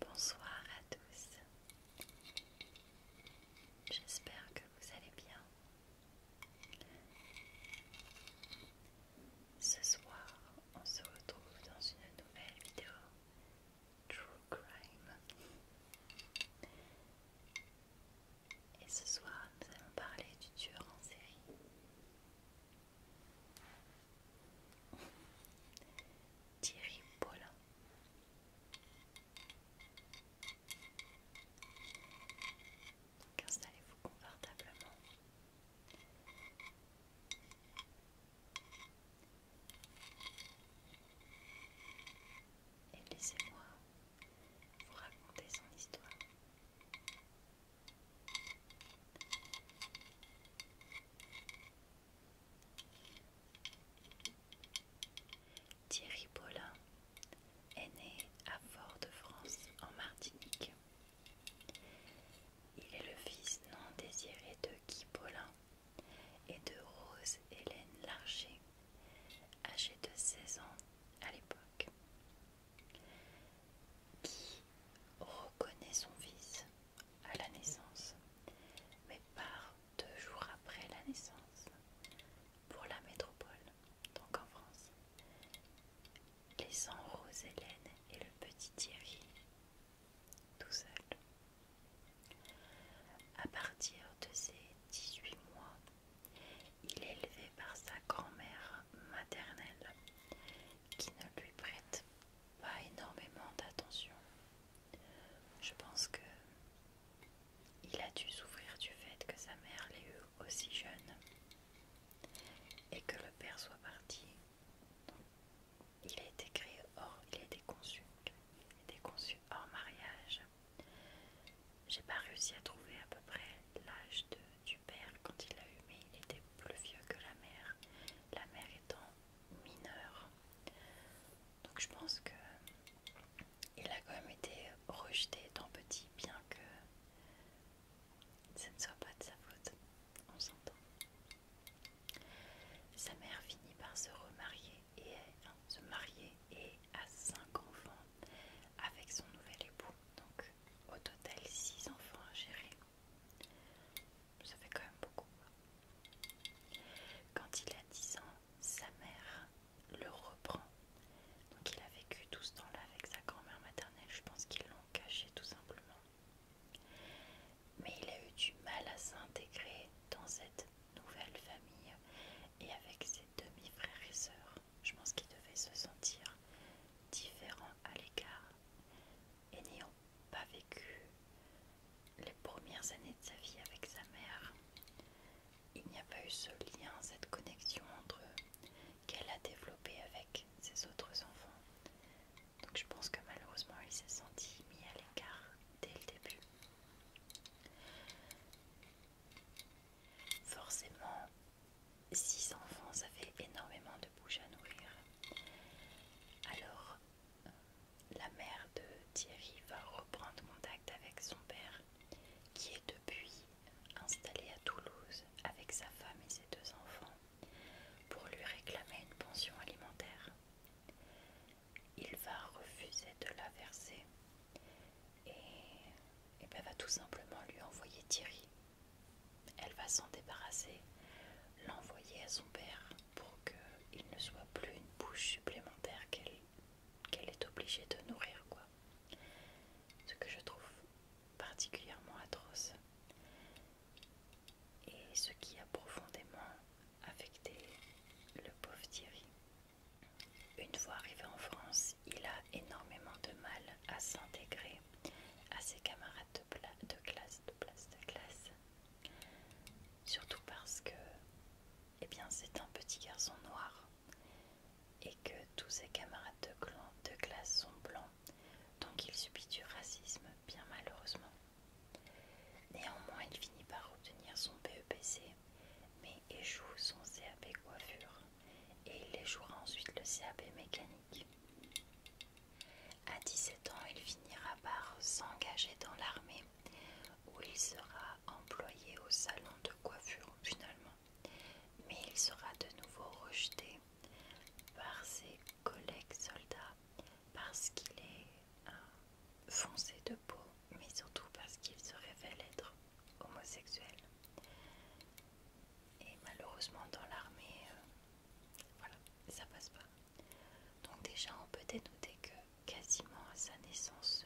Bonsoir à tous. J'espère que vous allez bien. Ce soir, on se retrouve dans une nouvelle vidéo True Crime. Et ce soir, nous allons parler du tueur en série. Thierry Paulin. Installez-vous confortablement. Et laissez-moi vous raconter son histoire. Thierry Paulin est né à Fort-de-France en Martinique il est le fils non désiré de Guy Paulin et de Rose Hélène Larcher, âgée de 16 ans à l'époque. Guy reconnaît son fils à la naissance, mais part deux jours après la naissance pour la métropole, donc en France, laissant Rose Hélène et le petit Thierry tout seul. À partir de ses 18 mois, il est élevé par sa grand-mère maternelle qui ne lui prête pas énormément d'attention. Je pense que il a dû souffrir du fait que sa mère l'ait eu aussi jeune et que le père soit parti. Il a été créé hors, il a conçu, il conçu hors mariage. J'ai pas réussi à trouver à peu près l'âge du père quand il l'a eu, mais il était plus vieux que la mère, la mère étant mineure. Donc je pense que il a quand même été rejeté étant petit, bien que ce ne soit pas de sa faute, on s'entend. Sa mère finit par se remarier et hein, se marier et a cinq enfants avec son nouvel époux. Donc au total 6 enfants à gérer. Ça fait quand même beaucoup. Quand il a 10 ans, sa mère le reprend. Donc il a vécu tout ce temps-là avec sa grand-mère maternelle. Je pense qu'ils l'ont caché tout simplement. Mais il a eu du mal à s'intégrer dans cette nouvelle famille et avec ses demi-frères et sœurs. Je pense qu'il devait se sentir différent à l'écart et n'ayant pas vécu les premières années de sa vie avec sa mère. Il n'y a pas eu ce lien, cette connexion entre eux qu'elle a développé avec ses autres enfants. Donc je pense que malheureusement il s'est senti mis à l'écart dès le début. Forcément, six enfants, ça fait énormément de bouche à nourrir. Alors, euh, la mère de Thierry va reprendre contact avec son père, qui est depuis installé à Toulouse avec sa femme et ses deux enfants pour lui réclamer une pension alimentaire. Il va refuser de la verser et, ben, va tout simplement lui envoyer Thierry. Elle va s'en débarrasser, l'envoyer à son père pour qu'il ne soit plus une bouche supplémentaire qu'elle est obligée de nourrir. quoi. Ce que je trouve particulièrement atroce, et ce qui a profondément affecté le pauvre Thierry. Une fois arrivé en France, il a énormément de mal à s'intégrer à ses camarades de, classe, classe. Surtout parce que eh c'est un petit garçon noir et que tous ses camarades de classe sont blancs donc il subit du racisme bien malheureusement. Néanmoins, il finit par obtenir son BEPC, mais échoue son CAP coiffure et il échouera ensuite le CAP mécanique. À 17 ans, il finira par s'engager dans l'armée où il sera employé au salon de coiffure finalement, mais il sera de nouveau rejeté par ses collègues soldats parce qu'il est foncé de peau, mais surtout parce qu'il se révèle être homosexuel. Et malheureusement dans l'armée, euh, voilà, ça passe pas. Donc déjà on peut dénoter que quasiment à sa naissance,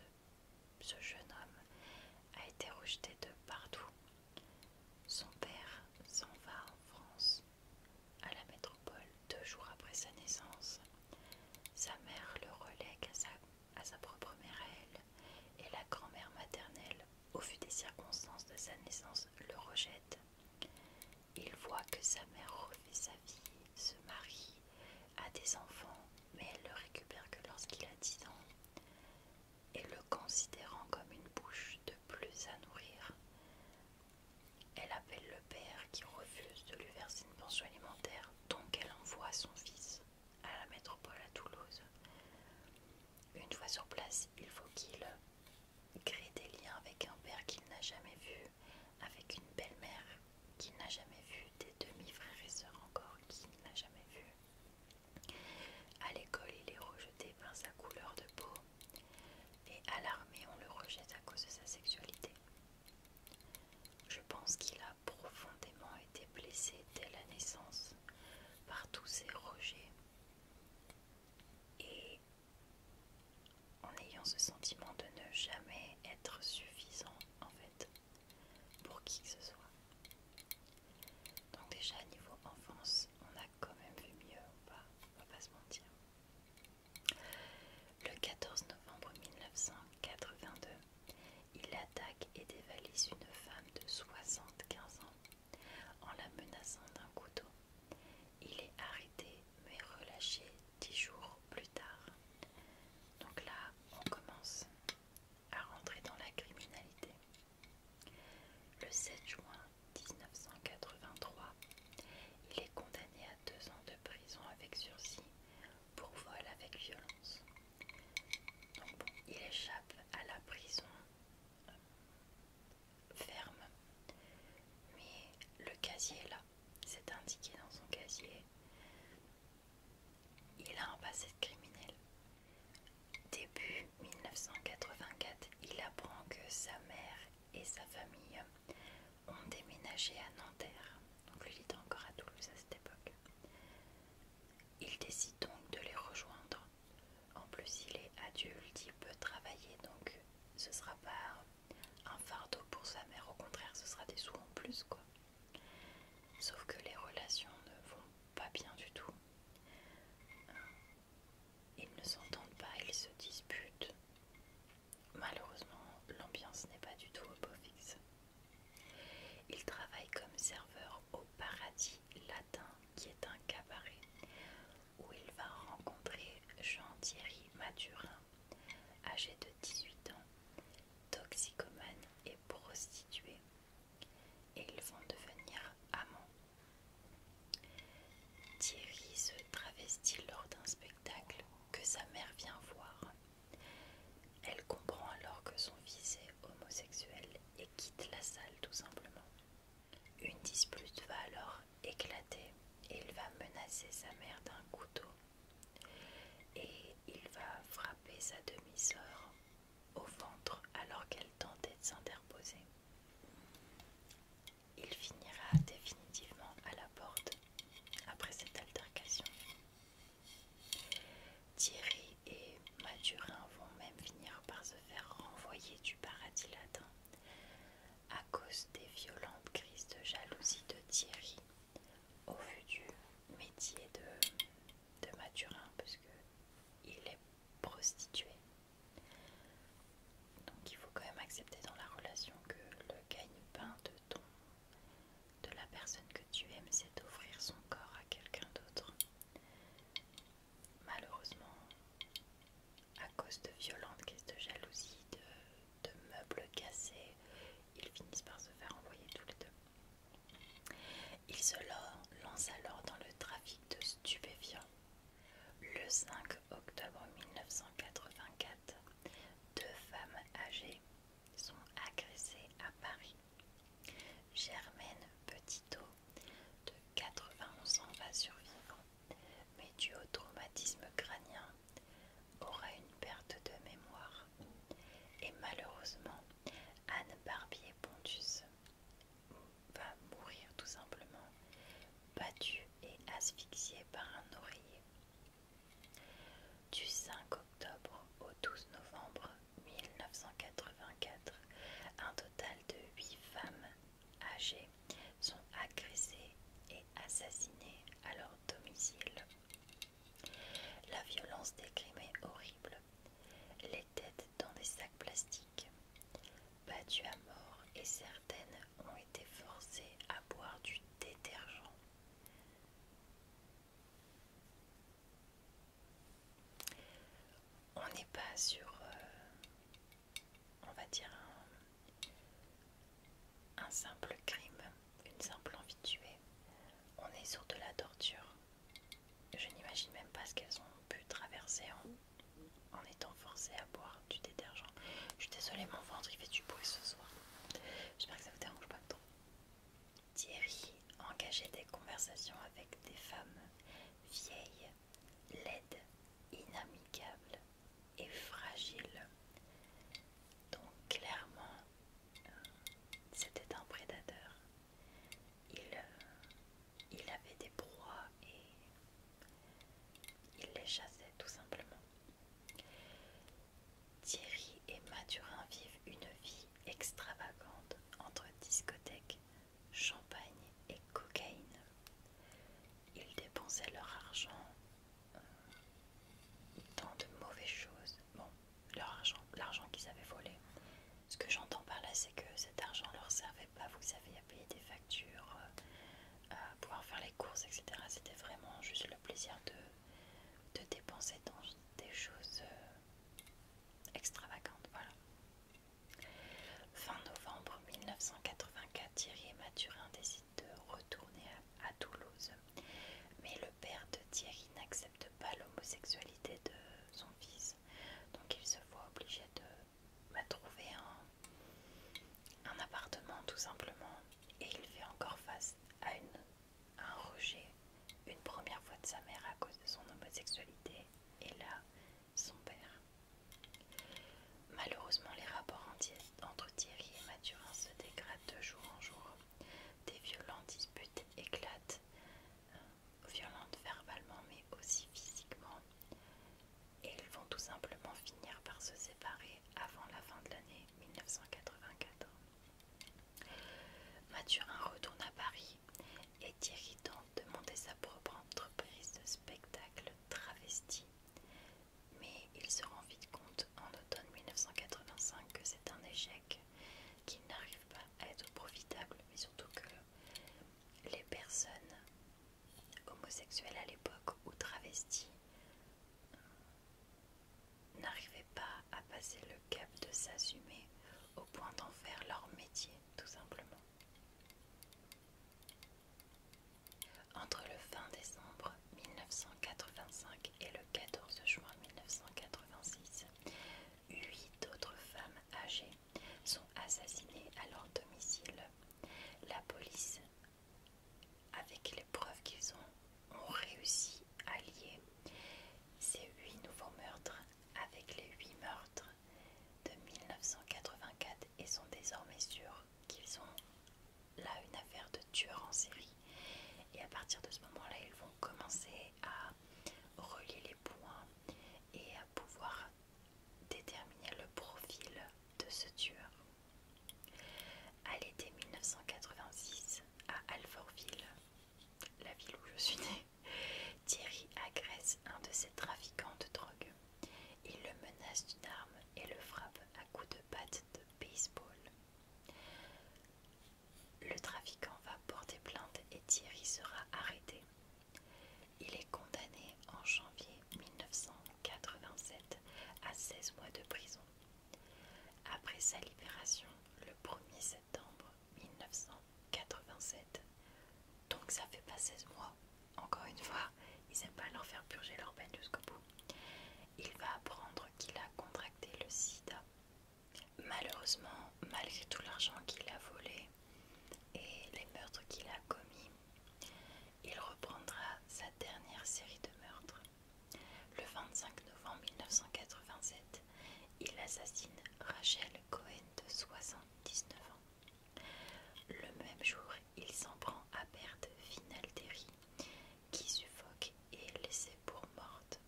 ce jeune homme a été rejeté de partout son père s'en va en France, à la métropole, deux jours après sa naissance. Sa mère le relègue à sa, propre mère à elle, et la grand-mère maternelle, au vu des circonstances de sa naissance, le rejette. Il voit que sa mère refait sa vie, se marie, a des enfants, mais elle le récupère que lorsqu'il a dix ans et le considérant comme une bouche de plus à nourrir. Elle appelle le père qui refuse de lui verser une pension alimentaire, donc elle envoie son fils à la métropole à Toulouse. Une fois sur place, il faut qu'il crée des liens avec un père qu'il n'a jamais vu, avec une belle-mère qu'il n'a jamais vue, des demi-frères et sœurs encore qu'il n'a jamais vus. À l'école, il est rejeté par sa couleur de peau et à l'armée, on le rejette à cause de sa sexualité. Je pense qu'il a profondément été blessé dès la naissance par tous ces rejets. Et en ayant ce sentiment de ne jamais être suffisant, en fait, pour qui que ce soit. Donc déjà niveau enfance, on a quand même vu mieux, on pas, on va pas se mentir. Le 14 novembre 1982, il attaque et dévalise une femme de 75 ans en la menaçant d'un couteau. Il est arrêté mais relâché dix jours plus tard. Donc là, on commence à rentrer dans la criminalité. Le 7 juin 1983, il est condamné à deux ans de prison avec sursis pour vol avec violence. Donc il échappe à la prison euh, ferme, mais le casier là, c'est indiqué dans son casier. Il a un passé de criminel, Début 1984, il apprend que sa mère et sa famille ont déménagé à Nanterre. Donc lui, il était encore à Toulouse à cette époque. Il décide donc de les rejoindre. En plus, il est adulte, il peut travailler, donc ce sera pas un fardeau pour sa mère. Au contraire, ce sera des sous en plus, quoi. Sauf que les relations ne vont pas pas bien du tout. Euh, ils ne s'entendent pas, ils se disputent. Malheureusement, l'ambiance n'est pas du tout au beau fixe. il travaille comme serveur au paradis latin, qui est un cabaret, où il va rencontrer Jean-Thierry Maturin, âgé de 18 ans, toxicomane et prostitué, et ils vont devenir amants. Thierry se travestit lors d'un spectacle que sa mère vient voir. Elle comprend alors que son fils est homosexuel et quitte la salle tout simplement. Une dispute va alors éclater et il va menacer sa mère d'un couteau et il va frapper sa demi-sœur au ventre alors qu'elle tentait de s'interposer. Il finira définitivement à la porte après cette altercation. Thierry et Mathurin vont même finir par se faire renvoyer du paradis latin à cause des violentes crises de jalousie de Thierry au vu du métier de de maturin, parce que il est prostitué. Donc il faut quand même accepter dans la relation que le gagne-pain de ton de la personne que tu aimes, c'est d'offrir son corps à quelqu'un d'autre. Malheureusement, à cause de violentes caisses de jalousie, de meubles cassés, ils finissent par se faire envoyer tous les deux. Il se lance alors dans le trafic de stupéfiants. Le 5 octobre 1984, deux femmes âgées sont agressées à Paris. Germaine Petitot, de 91 ans, va survivre, mais du au traumatisme crânien, aura une perte de mémoire et malheureusement Anne Barbier Pontus va mourir tout simplement, battue et asphyxiée par un oreiller. Du 5 octobre au 12 novembre 1984, un total de 8 femmes âgées sont agressées et assassinées à leur domicile. La violence des crimes est horrible têtes dans des sacs plastiques, battues à mort et certaines ont été forcées à boire du détergent. On n'est pas sur, euh, on va dire, un simple crime, une simple envie de tuer. On est sur de la torture. Je n'imagine même pas ce qu'elles ont pu traverser en, en étant forcées à boire du détergent. Je suis désolée, mon ventre il fait du bruit ce soir. J'espère que ça vous dérange pas trop. Thierry engageait des conversations avec des femmes vieilles, laides, inamicables et fragiles. Donc clairement, euh, c'était un prédateur. Euh, il, avait des proies et il les chassait tout simplement. Thierry et Mathurin vivent une vie extravagante entre discothèque, champagne et cocaïne. Ils dépensaient leur argent euh, dans de mauvaises choses bon, leur argent, l'argent qu'ils avaient volé. Ce que j'entends par là, c'est que cet argent leur servait pas, vous savez, à payer des factures, euh, à pouvoir faire les courses, etc. C'était vraiment juste le plaisir de, dépenser dans des choses euh, extravagantes, voilà. Fin novembre 1984, Thierry et Mathurin décident de retourner à Toulouse mais le père de Thierry n'accepte pas l'homosexualité de son fils. Donc il se voit obligé de bah, trouver un, appartement tout simplement. Et il fait encore face à, à un rejet une première fois de sa mère à cause de son homosexualité. Et là, son père. Malheureusement, les rapports entre Thierry et Mathurin se dégradent de jour en jour. Des violentes disputes éclatent, euh, violentes verbalement mais aussi physiquement. Et ils vont tout simplement finir par se séparer avant la fin de l'année 1984. Mathurin retourne à Paris et irritant de monter sa propre entreprise de spectacle travesti. Mais il se rend vite compte en automne 1985 que c'est un échec qui n'arrivent pas à être profitables, mais surtout que les personnes homosexuelles à l'époque ou travesties euh, n'arrivaient pas à passer le cap de s'assumer au point d'en faire leur métier, tout simplement. Entre le fin décembre 1985 et le 14 juin 1986, huit autres femmes âgées sont assassinées à leur domicile. La police, avec les preuves qu'ils ont, ont réussi à lier ces huit nouveaux meurtres avec les huit meurtres de 1984 et sont désormais sûrs qu'ils ont là une affaire de tueur en série. Et à partir de ce moment-là, ils vont commencer à relier les points et à pouvoir déterminer le profil de ce tueur. À l'été 1986, à Alfortville, la ville où je suis née, Thierry agresse un de ses trafiquants de drogue. Il le menace d'une arme et le frappe à coups de patte de baseball. Le trafiquant va porter plainte et Thierry sera arrêté. Il est condamné en janvier 1987 à 16 mois de prison. Après sa libération le 1er septembre 1987, donc ça fait pas 16 mois, encore une fois, ils n'aiment pas leur faire purger leur peine jusqu'au bout. Il va apprendre qu'il a contracté le sida Malheureusement, malgré tout l'argent qu'il a volé et les meurtres qu'il a commis, il reprendra sa dernière série de meurtres. Le 25 novembre 1987, il assassine Rachel Cohen de 79 ans. Le même jour, il s'en prend à perte Terry, qui suffoque et est laissée pour morte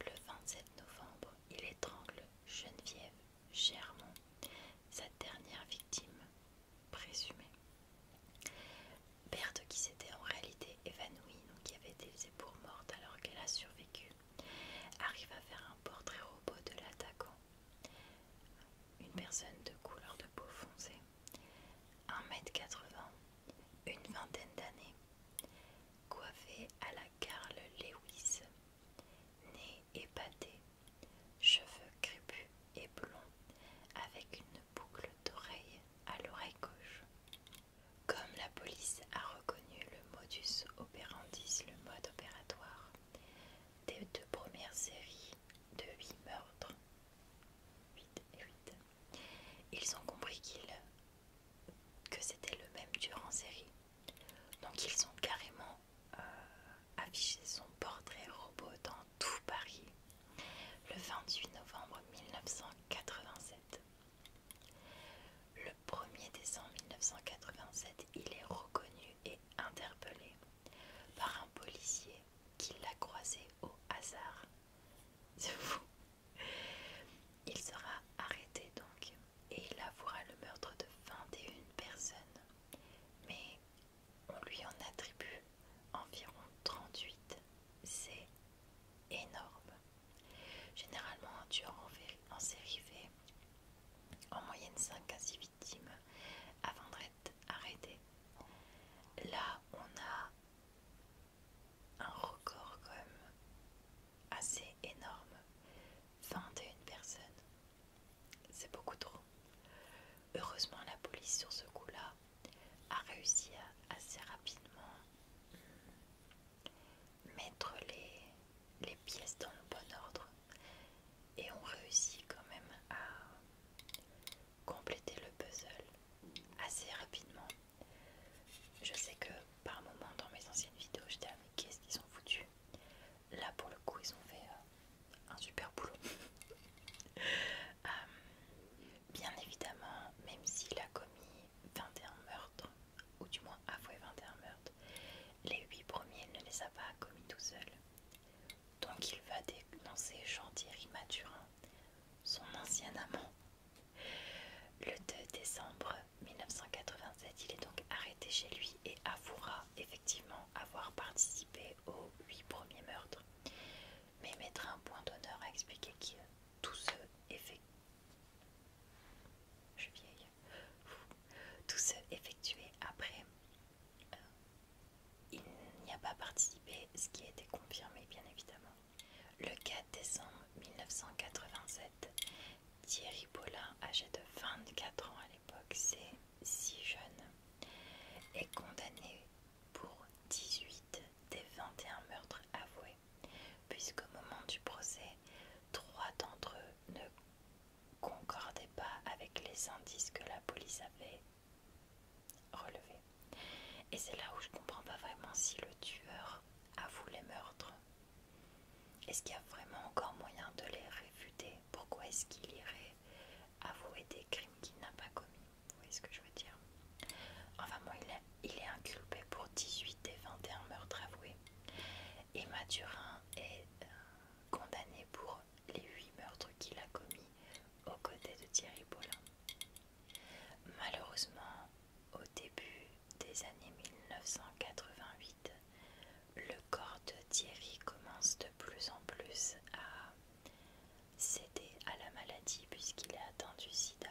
le 27 novembre, il étrangle Geneviève Germont, sa dernière victime présumée. Berthe qui s'était en réalité évanouie, donc qui avait été faite pour morte alors qu'elle a survécu, arrive à faire un portrait robot de l'attaquant. Une personne de couleur de peau foncée 1m80, une vingtaine d'années, coiffé à la Carl Lewis, nez épaté, cheveux crépus et blonds avec une boucle d'oreille à l'oreille gauche. Comme la police a reconnu le modus operandi, le mode opératoire des deux premières séries de 8 meurtres, 8 ils ont compris qu'il que c'était le même tueur en série. Donc ils ont carrément euh, affiché son portrait robot dans tout Paris le 28 novembre 1987. Le 1er décembre 1987, il est reconnu et interpellé par un policier qui l'a croisé au hasard C'est fou. Il sera arrêté donc et il avouera le meurtre de 21 personnes, mais on lui en attribue environ 38. C'est énorme. Généralement, tu tueur en série fait en moyenne 5 à 6 victimes avant d'être arrêté. Là, on a un record quand même assez énorme. 21 personnes. C'est beaucoup trop. Heureusement la police sur ce coup-là a réussi à assez rapidement hmm, mettre les, les pièces dans le bon ordre et ont réussi quand même à compléter le puzzle assez rapidement. Je sais que par moments, dans mes anciennes vidéos, j'étais avec mais qu'est-ce qu'ils ont foutu Là pour le coup, ils ont fait euh, un super boulot. Euh, bien évidemment, même s'il a commis 21 meurtres, ou du moins avoué 21 meurtres, les huit premiers il ne les a pas commis tout seul. Donc il va dénoncer Jean-Thierry son ancien amant. Le 2 décembre 1987, il est donc arrêté chez lui et avouera effectivement avoir participé aux huit premiers meurtres, mais mettra un point d'honneur à expliquer que tout ce je vieille. Tout se effectué après euh, il n'y a pas participé, ce qui a été confirmé bien évidemment. Le 4 décembre 1987, Thierry Paulin, âgé de 24 ans à l'époque, c'est si jeune, est condamné pour 18 des 21 meurtres avoués, puisqu'au moment du procès, trois d'entre eux ne concordaient pas avec les indices que la police avait relevé. Et c'est là où je comprends pas vraiment si le tueur avoue les meurtres. Est-ce qu'il y a vraiment encore moyen de les réfuter Pourquoi est-ce qu'il irait avouer des crimes qu'il n'a pas commis Vous voyez ce que je veux dire Enfin moi il, est inculpé pour 18 et 21 meurtres avoués. Et Mathurin est euh, condamné pour les 8 meurtres qu'il a commis aux côtés de Thierry Paulin. Malheureusement, au début des années 1988, le corps de Thierry commence de plus en plus à céder à la maladie puisqu'il est atteint du sida.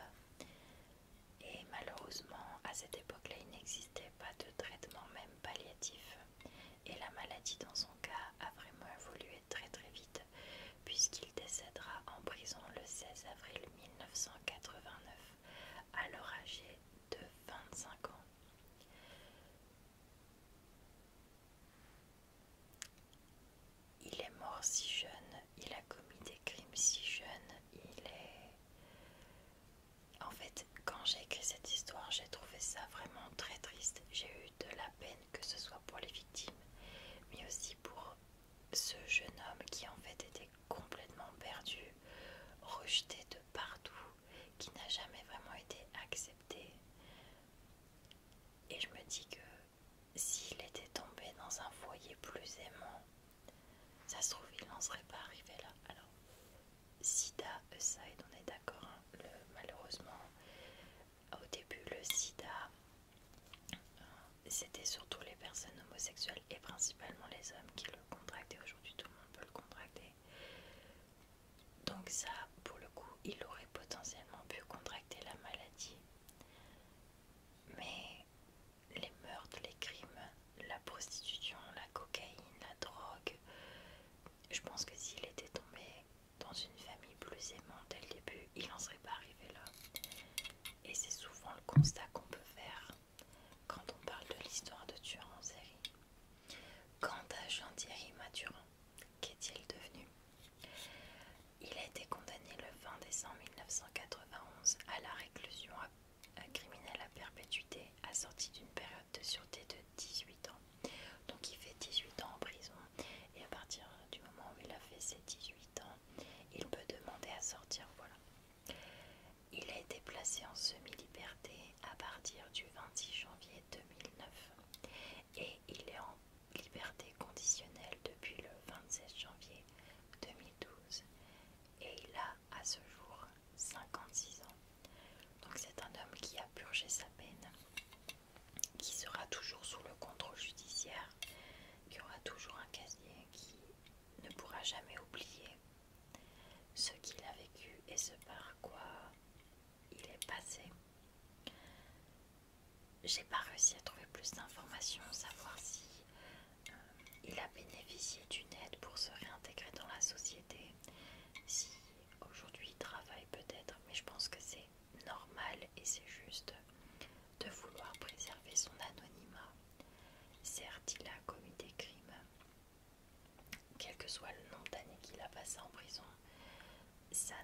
Et malheureusement, à cette époque-là, il n'existait pas de traitement, même palliatif. Et la maladie dans son cas a vraiment évolué très très vite puisqu'il décédera en prison le 16 avril 1989, alors âgé de 25 ans. Il est mort si jeune, il a commis des crimes si jeunes. il est... En fait, quand j'ai écrit cette histoire, j'ai trouvé ça vraiment très triste. J'ai eu de la peine que ce soit pour les victimes, mais aussi pour ce jeune homme qui en fait était complètement perdu, rejeté de partout, qui n'a jamais vraiment été accepté. Et je me dis que s'il était tombé dans un foyer plus aimant, ça se trouve il n'en serait pas arrivé là. Alors, Sida aside, on est d'accord, hein, malheureusement, au début, le sida, euh, c'était surtout les personnes homosexuelles et principalement les hommes qui le contractaient. Aujourd'hui, tout le monde peut le contracter. Donc ça, pour le coup, il aurait potentiellement pu contracter la maladie. Mais les meurtres, les crimes, la prostitution, la cocaïne, la drogue, je pense que s'il était tombé dans une famille plus aimante dès le début, il n'en serait pas arrivé là. Et c'est souvent le constat qu'on peut faire quand on parle de l'histoire de Turan en Quant à Jean-Thierry Maturin, qu'est-il devenu Il a été condamné le 20 décembre 1991 à la réclusion criminelle à perpétuité assortie d'une période de sûreté de 18 ans. Donc il fait 18 ans en prison et à partir du moment où il a fait ses 18 ans, il peut demander à sortir. Voilà. Il a été placé en semi-liberté à partir du 26 janvier 2009 et il est en liberté conditionnelle depuis le 26 janvier 2012 et il a à ce jour 56 ans. Donc c'est un homme qui a purgé sa peine qui sera toujours sous le contrôle judiciaire, qui aura toujours un casier, qui ne pourra jamais oublier ce qu'il a vécu et ce par quoi il est passé. J'ai pas réussi à trouver plus d'informations, savoir si euh, il a bénéficié d'une aide pour se réintégrer dans la société, si aujourd'hui il travaille peut-être, mais je pense que c'est normal et c'est juste de vouloir préserver son anonymat. Certes, il a commis des crimes, quel que soit le nombre d'années qu'il a passé en prison, ça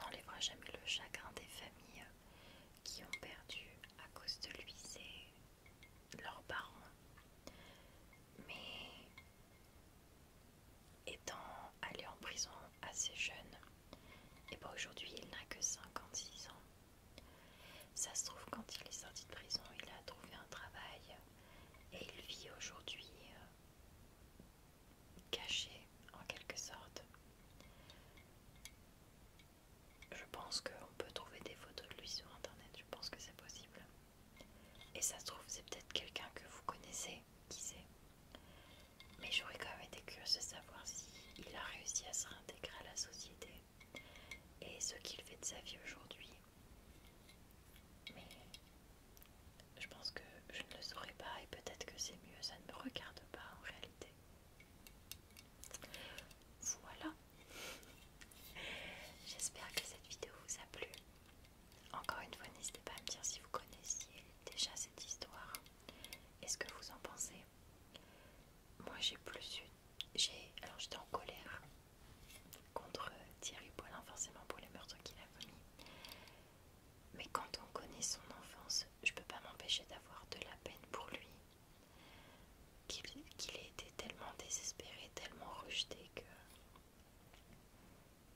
n'enlèvera ne, ça jamais le chagrin des familles qui ont perdu à cause de lui ses, leurs parents. Mais étant allé en prison assez jeune, et pour ben aujourd'hui il n'a que 56 ans. Ça se trouve, quand il est sorti de prison, il a trouvé un travail et il vit aujourd'hui euh, caché en quelque sorte. Je pense qu'on peut trouver des photos de lui sur internet, je pense que c'est possible. Et ça se trouve, c'est peut-être quelqu'un que vous connaissez, qui sait. Mais j'aurais quand même été curieuse de savoir s'il a réussi à se réintégrer à la société et ce qu'il fait de sa vie aujourd'hui. Mais je pense que je ne le saurais pas et peut-être que c'est mieux, ça ne me regarde pas en réalité. Voilà. J'espère que cette vidéo vous a plu. Encore une fois, n'hésitez pas à me dire si vous connaissiez déjà cette histoire est ce que vous en pensez. Moi, j'ai plus eu. J'ai, alors, j'étais en colère contre Thierry Paulin, forcément, pour les meurtres qu'il a commis. Mais quand on connaît son enfance, je peux pas m'empêcher d'avoir de la peine pour lui. Qu'il ait été tellement désespéré, tellement rejeté que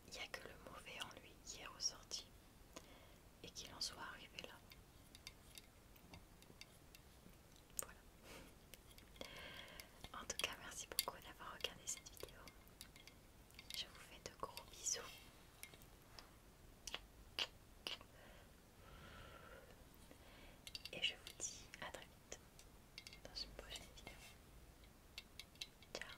il n'y a que le mauvais en lui qui est ressorti et qu'il en soit arrivé là. Voilà. En tout cas, merci beaucoup d'avoir regardé cette vidéo. Je vous fais de gros bisous. Et je vous dis à très vite dans une prochaine vidéo. Ciao